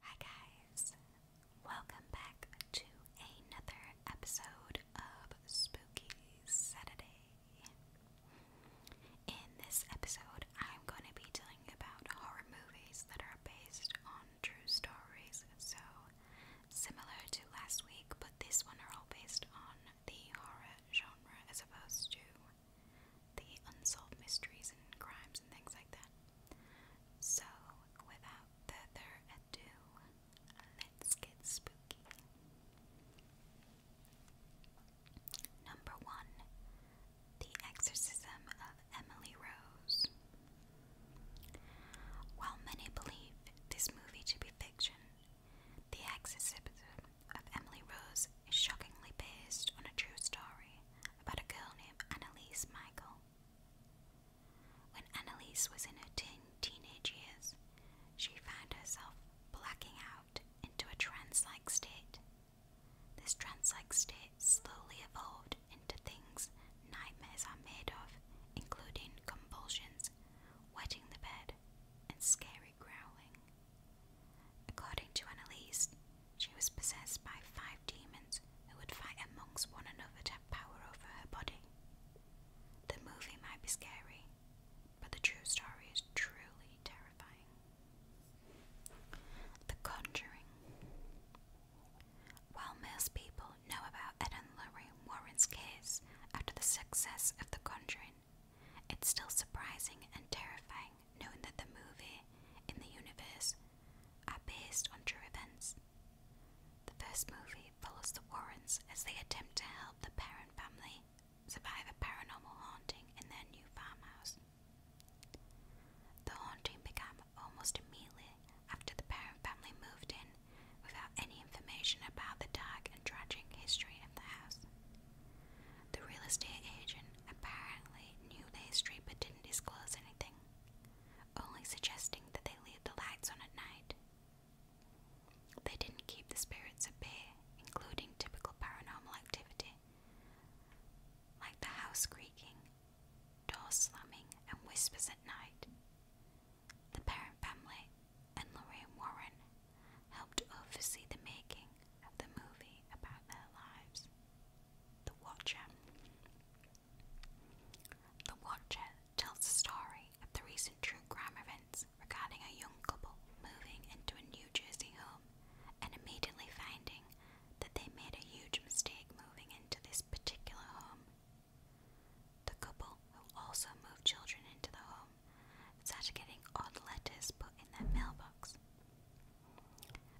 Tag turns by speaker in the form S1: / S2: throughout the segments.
S1: Hi guys, welcome back to another episode of Spooky Saturday. In this episode, I'm going to be telling about horror movies that are based on true stories. So, similar to last week, but this one are all based on the horror genre as opposed to the unsolved mysteries and crimes and things like that. So, without further ado, let's get spooky. Number one The Exorcism of Emily Rose. While many believe this movie to be fiction, The Exorcism of Emily Rose is shockingly based on a true story about a girl named Annalise Michael. When Annalise was in her teen teenage years, she found herself blacking out into a trance like state. This trance like state slowly evolved into things nightmares are made of, including convulsions, wetting the bed, and scary growling. According to Annalise, she was possessed by five demons who would fight amongst one another to have power over her body. The movie might be scary, but the true story is truly terrifying. The Conjuring. While most people know about Ed and Lorraine Warren's case after the success of The Conjuring, it's still surprising and terrifying knowing that the movie in the universe are based on true events. The first movie follows the Warrens as they attempt to help the parent family survive a paranormal haunting in their new farmhouse. The haunting began almost immediately after the parent family moved in without any information about the dark and tragic history of the house. The real estate agent apparently knew their street but didn't disclose anything, only suggesting that they leave the lights on at night. They didn't keep the spirits at bay, including typical paranormal activity like the house creaking, doors slamming, and whispers at night. The parent family and Lorraine Warren helped oversee the making of the movie about their lives. The Watcher. The Watcher tells the story of the recent true crime events regarding a young couple moving into a New Jersey home and immediately finding that they made a huge mistake moving into this particular home. The couple, who also moved children into the home, start getting odd letters put in their mailbox.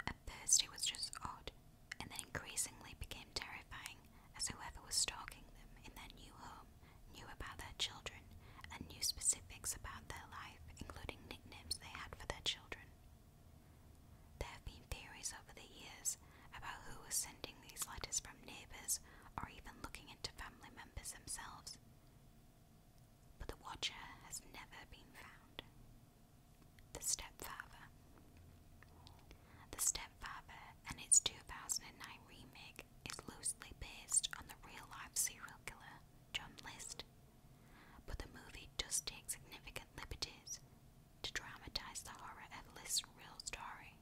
S1: At first it was just odd, and then increasingly became terrifying, as whoever was stalking them in their new home knew about their children and knew specifics about their life, including nicknames they had for their children. There have been theories over the years about who was sending these letters from neighbours or even looking into family members themselves but the watcher has never been found. The Stepfather. The Stepfather and its 2009 remake is loosely based on the real life serial killer John List, but the movie does take significant liberties to dramatise the horror of List's real story.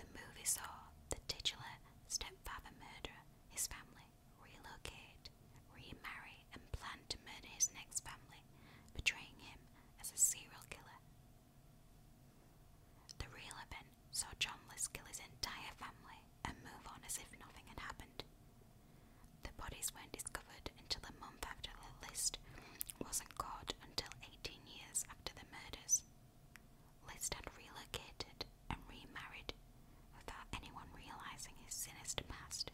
S1: The movie saw the titular Stepfather murder his family relocate, remarry, and planned to murder his next family, betraying him as a serial killer. The real event saw Johnless kill his entire family and move on as if nothing had happened. The bodies weren't discovered until a month after the list wasn't caught until 18 years after the murders. List had relocated and remarried without anyone realizing his sinister past.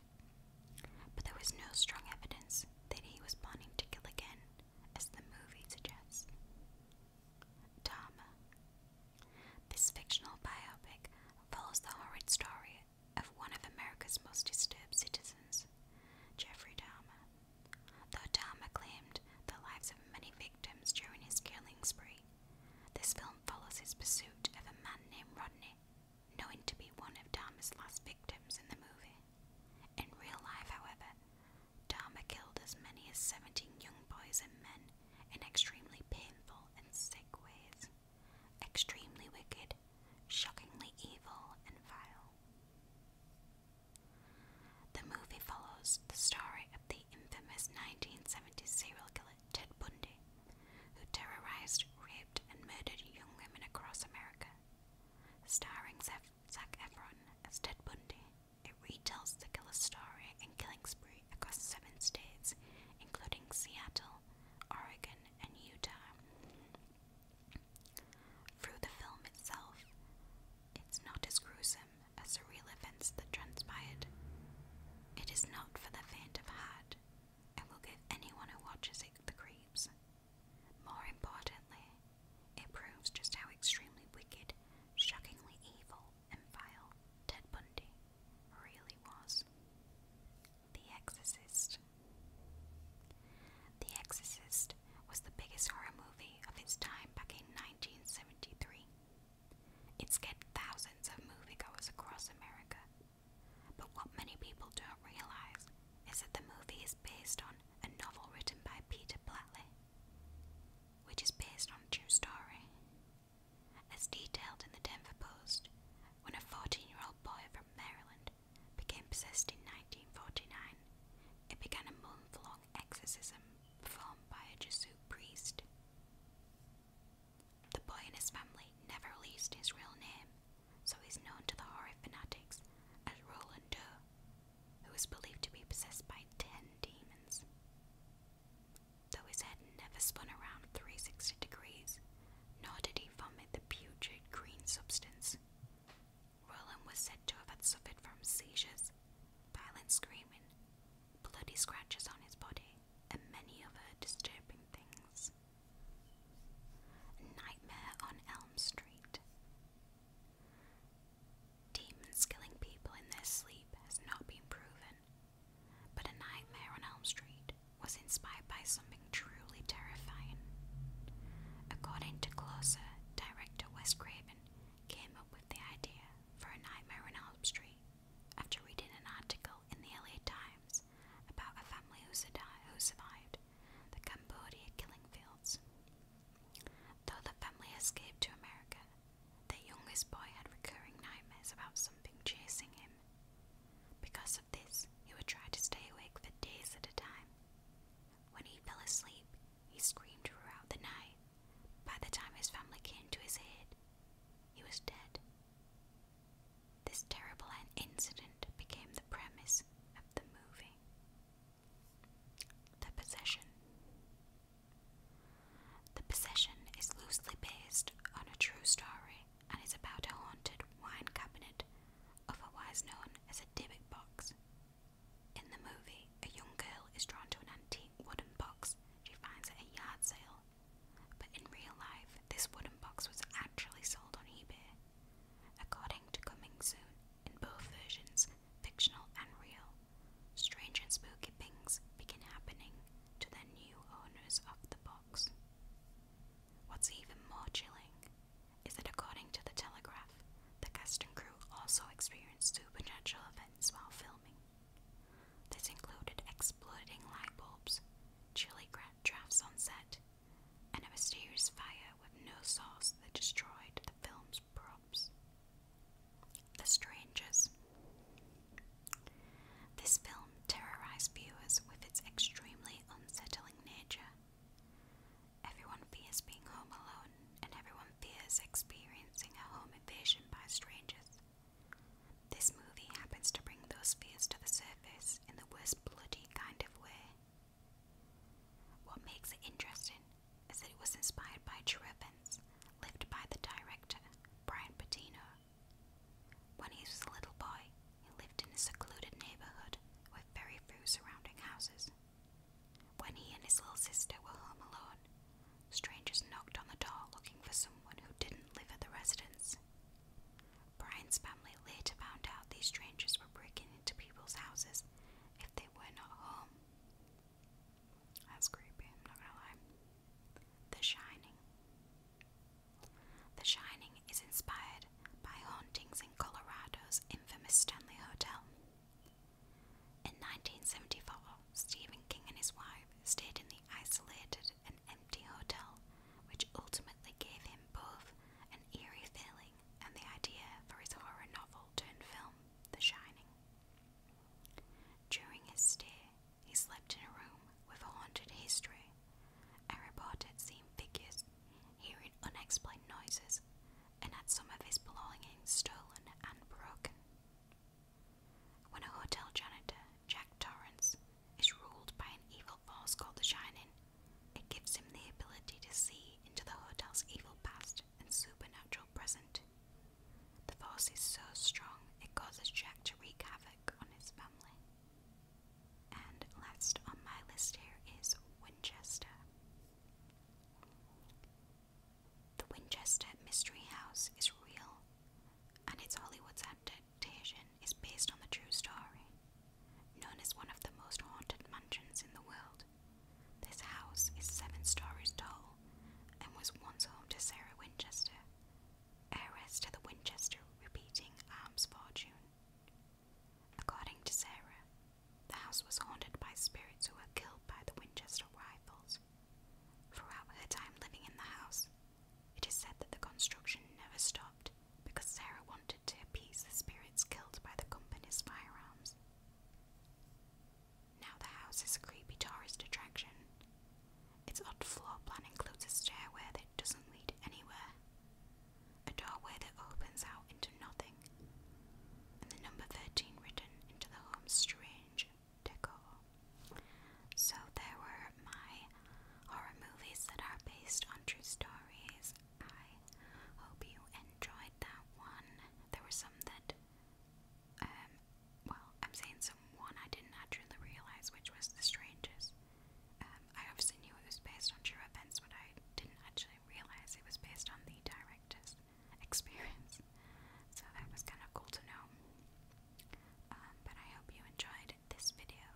S1: But there was no strong evidence that he was planning to kill again, as the movie suggests. Dharma. This fictional biopic follows the horrid story of one of America's most disturbed citizens, Jeffrey Dahmer. Though Dahmer claimed the lives of many victims during his killing spree, this film follows his pursuit of a man named Rodney, known to be one of Dharma's last victims in the movie. In real life, however, Dharma killed as many as 17 young boys and men in extremely painful and sick ways, extremely wicked, shockingly evil, and vile. The movie follows the story of the the infamous 1970 serial killer Ted Bundy, who terrorized, raped, and murdered young women across America. Starring Zac Efron as Ted Bundy, it retells the killer's story and killing spree across seven states, including Seattle, Oregon, and Utah. Through the film itself, it's not as gruesome as surreal events that transpired. It is not for the faint of heart, and will give anyone who watches it the creeps. More importantly, it proves just how extremely wicked, shockingly evil, and vile Ted Bundy really was. The Exorcist. The Exorcist was the biggest horror movie of its time back in 1973. It scared thousands of moviegoers across America. But what many people don't realize is that the movie is based on a novel written by Peter Platley, which is based on a true story. As detailed in the Denver Post, when a 14 year old boy from Maryland became possessed in 1949, it began a month long exorcism performed by a Jesuit priest. The boy and his family never released his real name, so he's known to the horror fanatics as Roland Doe, who is believed to be possessed by ten demons. Though his head never spun around 360 degrees, nor did he vomit the putrid green substance, Roland was said to have had suffered from seizures, violent screaming, bloody scratches on his body, and many other disturbing things. nightmare on Elm Street. Demons killing people in their sleep has not been proven, but a nightmare on Elm Street was inspired by something truly terrifying. According to Closer, director Wes Craven came up with the idea for a nightmare on Elm Street after reading an article in the LA Times about a family who, survived the Cambodia killing fields, though the family escaped to America, their youngest boy had recurring nightmares about something chasing him. Because of this, he would try to stay awake for days at a time. When he fell asleep, he screamed throughout the night by the time his family came to his aid, he was dead. This terrible incident became the premise of the movie. The Possession. The Possession is loosely based on a true story and is about a haunted wine cabinet, otherwise known as a Dybbuk box. In the movie, a young girl is drawn to an antique wooden box she finds at a yard sale. But in real life, this wooden box was actually sold on eBay. According to Coming Soon, in both versions, fictional and real, strange and spooky things begin happening to the new owners of the box. What's even more chilling is that, according to The Telegraph, the cast and crew also experienced supernatural events while filming. This included exploding light bulbs, chilly drafts on set, and a mysterious fire with no sauce that destroyed the film's props. The Strangers. This film terrorized viewers with its extremely unsettling nature. Everyone fears being home alone and everyone fears experiencing a home invasion by strangers. This movie happens to bring those fears to the surface in the worst bloody kind of way. What makes it interesting is that it was inspired by true events lived by the director, Brian Patino. When he was a little boy, he lived in a secluded neighbourhood with very few surrounding houses. When he and his little sister were home alone, strangers knocked on the door looking for someone who didn't live at the residence. Brian's family later found out these strangers were breaking into people's houses if they were not home. That's creepy, I'm not gonna lie. The Shining. The Shining is inspired by hauntings in Colorado's infamous Stanley Hotel. In 1974, Stephen King and his wife stayed in the isolated and empty hotel, which ultimately gave him both an eerie feeling and the idea for his horror novel turned film, The Shining. During his stay, he slept in a room with a haunted history. A report had seen figures, hearing unexplained noises, and had some of his belongings stolen and broken. When a hotel janitor, Jack Torrance, is ruled by an evil force called the Shining, it gives him the ability to see into the hotel's evil past and supernatural present. The force is so strong it causes Jack to wreak havoc on his family. And last on my list here is Winchester. The Winchester Mystery House is real, and its Hollywood's adaptation is based on the true story. Known as one of the most haunted mansions in the world, this house is seven stories tall and was once home to Sarah Winchester, heiress to the Winchester repeating arms fortune. According to Sarah, the house was haunted by spirits who were killed by the Winchester rifles. Throughout her time living in the house, it is said that the construction never stopped because Sarah wanted to appease the spirits killed by the company's firearms. Now the house is a creepy tourist attraction. Its odd floor plan includes a stairway that doesn't lead anywhere, a doorway that opens out into nothing the number 13 written into the home's strange decor. So there were my horror movies that are based on true stories. I hope you enjoyed that one. There were some that, um, well, I'm saying some one I didn't actually realize which was The strangest. Um, I obviously knew it was based on true events, but I didn't actually realize it was based on the director's experience. So that was kind of cool to know. Um, but I hope you enjoyed this video,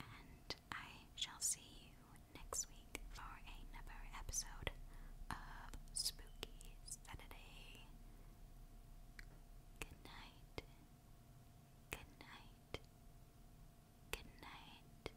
S1: and I shall see you next week for another episode of Spooky Saturday. Good night. Good night. Good night.